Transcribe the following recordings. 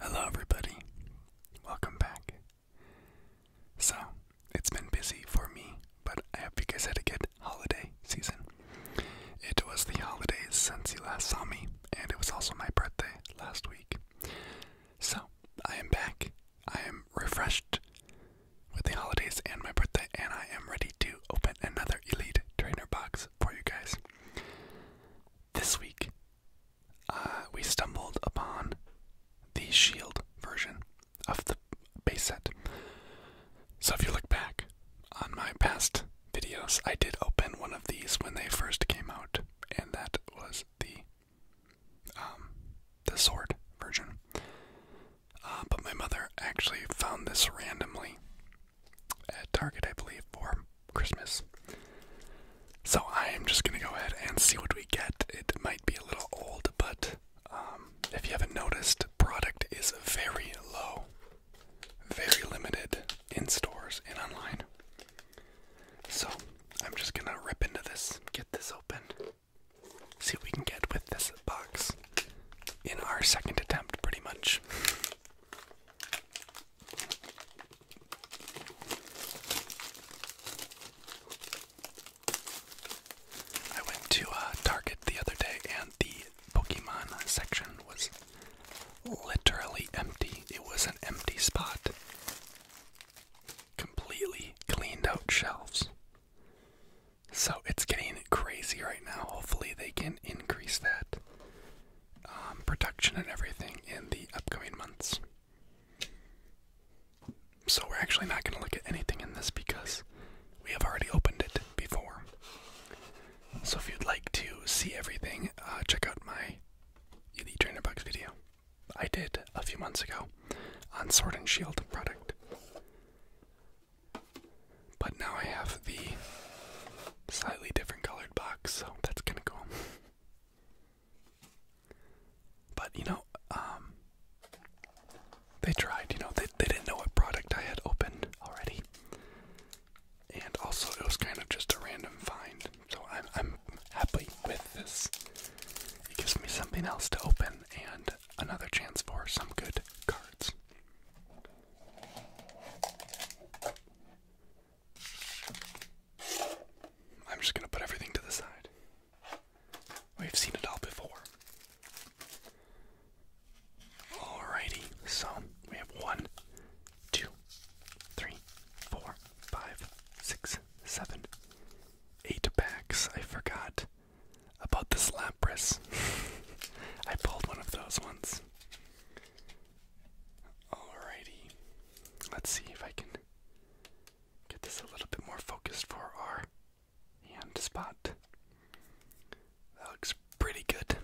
Hello, everybody. Welcome back. So, it's been busy for me, but I hope you guys had a good holiday season. It was the holidays since you last saw me, and it was also my birthday last week. So, I am back. I am refreshed with the holidays and my birthday, and I am ready to open another Elite Trainer box for you guys this week, uh, we stumbled upon the Shield version of the base set. So if you look back on my past videos, I did open one of these when they first came out, and that was the um, the sword version. Uh, but my mother actually found this randomly at Target, I believe, for Christmas. So I am just gonna go ahead and see what we get. It might be a little old, but um, if you haven't noticed, product is very low, very limited in stores and online. So I'm just gonna rip into this, get this open, see what we can get with this box in our second attempt, pretty much. I went to uh, Target the other day and the Pokemon section was literally empty. It was an empty spot. Completely cleaned out shelves. So it's getting crazy right now. Hopefully, they can increase that. Um, production and everything in the upcoming months. So we're actually not going to look at anything in this because we have already opened it before. So if you'd like to see everything, uh, check out my Elite Trainer Box video I did a few months ago on Sword and Shield product. But now I have the slightly different colored box, so that's kind of cool. but you know, um, they tried. You know, they they didn't know what product I had opened already, and also it was kind of just a random find. So I'm I'm happy with this. It gives me something else to open and another chance for some good cards. I'm just going to put everything to the side. We've seen it all before. Alrighty, so we have one, two, three, four, five, six, seven, eight packs. I forgot about this Lapras. I pulled one of those once. Alrighty. Let's see if I can get this a little bit more focused for our hand spot. That looks pretty good.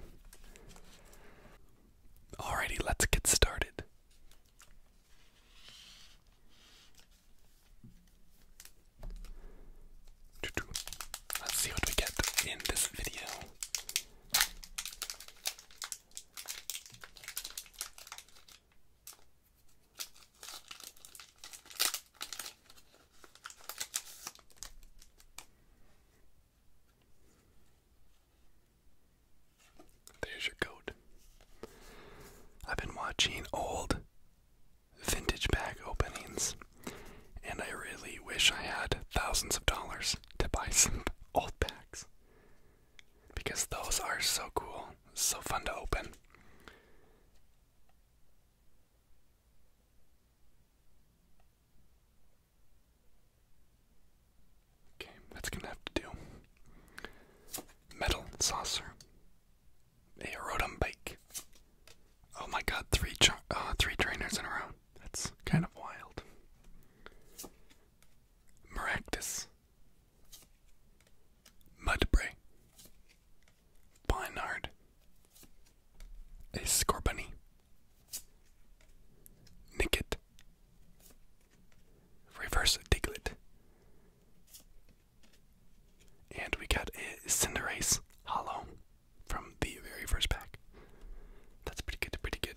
Alrighty, let's get started. Let's see what we get in this video. There's your code. I've been watching old vintage bag openings, and I really wish I had thousands of dollars to buy some old bags because those are so cool, so fun to open. Okay, that's gonna have to do. Metal saucer a Rotom bike. Oh my god, three uh, three trainers in a row. That's kind of wild. Maractus. Mudbray. Pinard. A Scorbunny. Nicket. Reverse Diglett. And we got a Cinderace Hollow from the very first pack. That's pretty good, pretty good.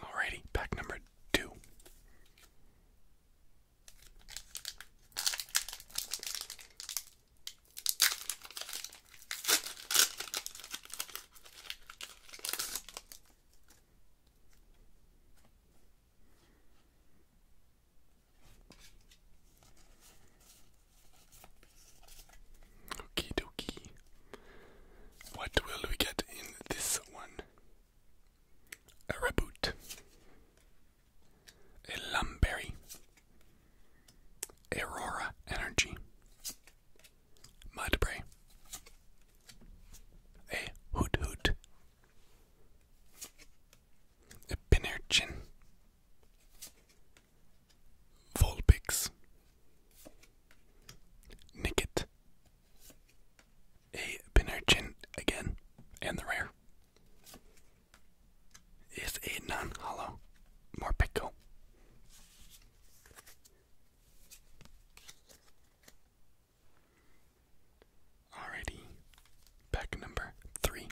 Alrighty, pack number two. Okie dokie. What will we get in this one? A reboot. A lumberry. Aurora Energy, Mudbray, a Hoot Hoot, a Pinerchin, Volpix, Nicket, a Pinerchin again, and the rare, is a non-hollow Morpeko. Alrighty, pack number three.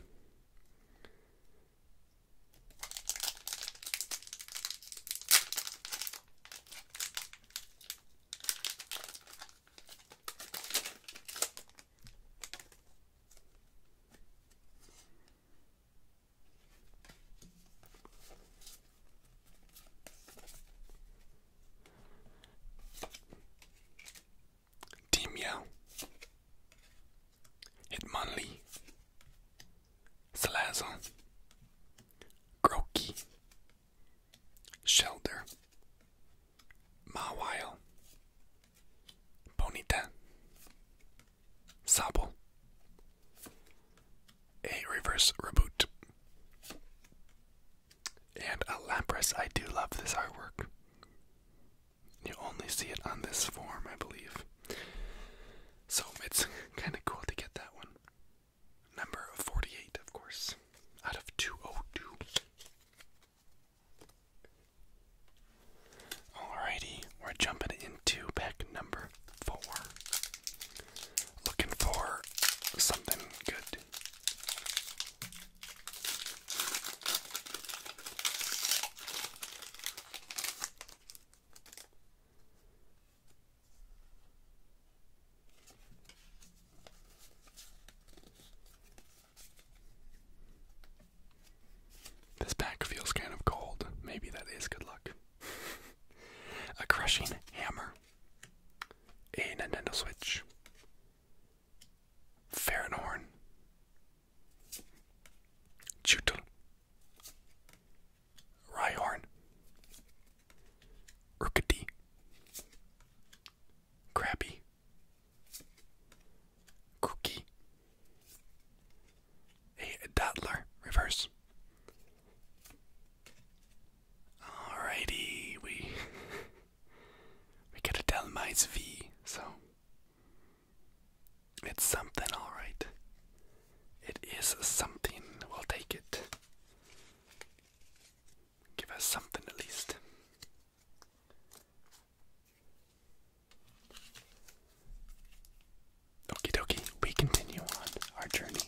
Team Yell, Hitmonlee, Salazzle, Shelter, Mawile, Bonita, Sable, a reverse reboot, and a Lapras. I do love this artwork. You only see it on this form, I believe. So it's kind of cool to get that one. Number 48, of course, out of 202. Alrighty, we're jumping into pack number four. Looking for something good. This pack feels kind of cold. Maybe that is good luck. a crushing hammer. A Nintendo Switch. Farinhorn. Chutul. Rhyhorn. Urkati. Crabby. Cookie. A Dattler. Reverse. Alrighty, we we get a Delmize V, so it's something, all right. It is something. We'll take it. Give us something at least. Okie dokie, we continue on our journey.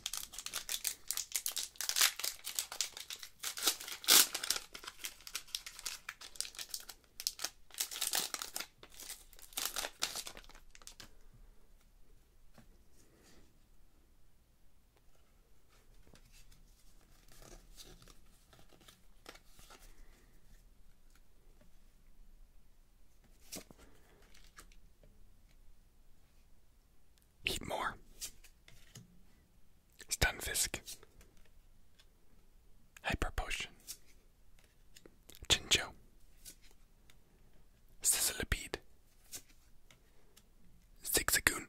Eat more. Stunfisk. Hyper Potion. Chincho. Sizzlipede. Zigzagoon.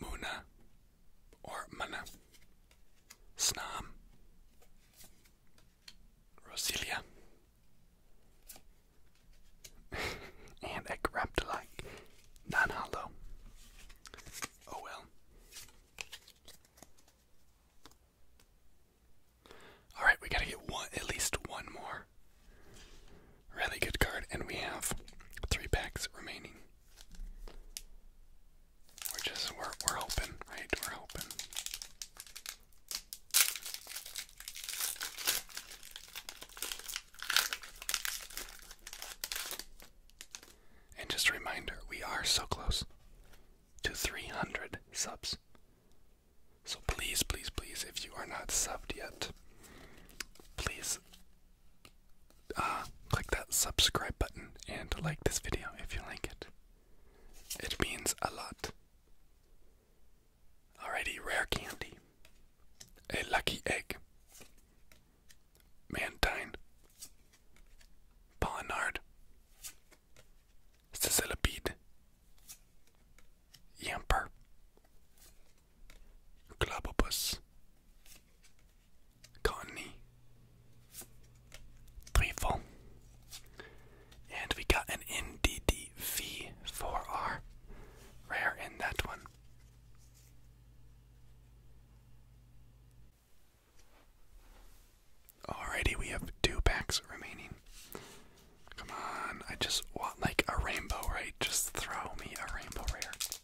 Muna or Mana, Snam, Rosilia, and a Graptolite, non hollow. Oh well. Alright, we gotta get one at least one more. Really good card, and we have three packs remaining. We're just we're we're hoping, right? We're hoping. And just a reminder, we are so close to 300 subs. So please, please, please, if you are not subbed yet, please uh, click that subscribe button and like this video if you like it. It means a lot. Alrighty, rare candy. A lucky egg. Mantine. Pawnard. Sizzilipede. Yamper, Globopus, Cottony, Threeful, and we got an NDDV for our rare in that one. Alrighty, we have two packs remaining. Come on, I just want like a rainbow, right? Just throw me a rainbow right?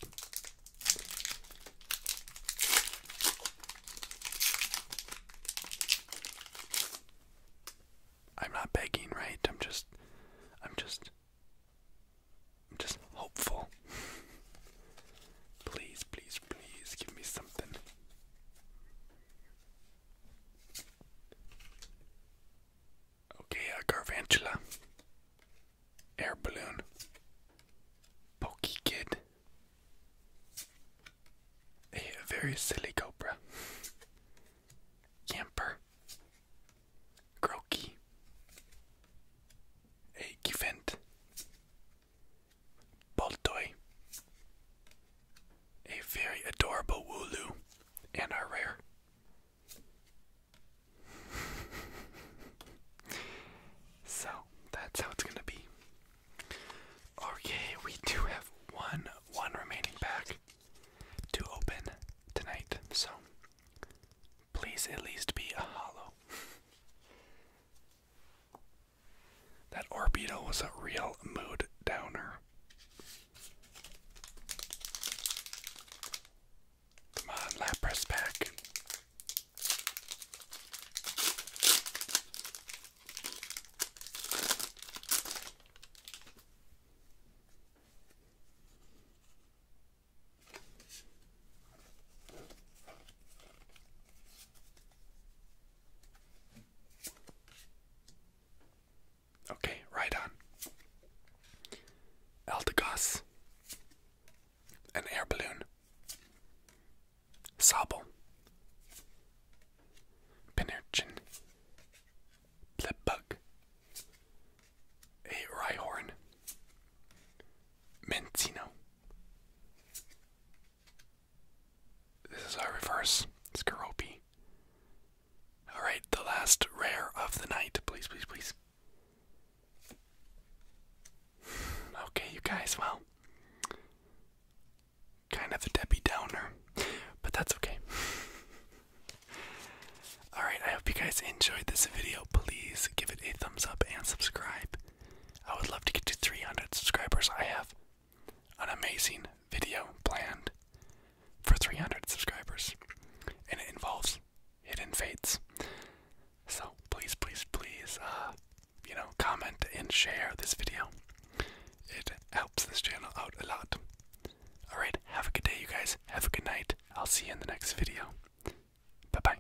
I'm not begging, right? I'm just I'm just I'm just hopeful. please, please, please give me something. Okay, a Garvantula. Air Balloon. Pokey Kid. A very silly Cobra. Camper. Croaky. A Givent. Boltoy a very adorable Wooloo, and a rare. so that's how it's gonna be. Okay, we do have one one remaining pack to open tonight, so please at least be a hollow. that Orbeetle was a real mood downer. Come on, Lapras pack. Okay, right on. Eldegoss. An air balloon. Sobble. Pinerchin. Blipbug. A Rhyhorn. Mentino. This is our reverse It's Skoropy. Alright, the last rare of the night. Please, please, please. Okay, you guys, well. Kind of a Debbie Downer, but that's okay. Alright, I hope you guys enjoyed this video. Please give it a thumbs up and subscribe. I would love to get to 300 subscribers. I have an amazing video planned for 300 subscribers, and it involves hidden fates. So please, please, please, uh, you know, comment and share this video. It helps this channel out a lot. All right, have a good day, you guys. Have a good night. I'll see you in the next video. Bye bye.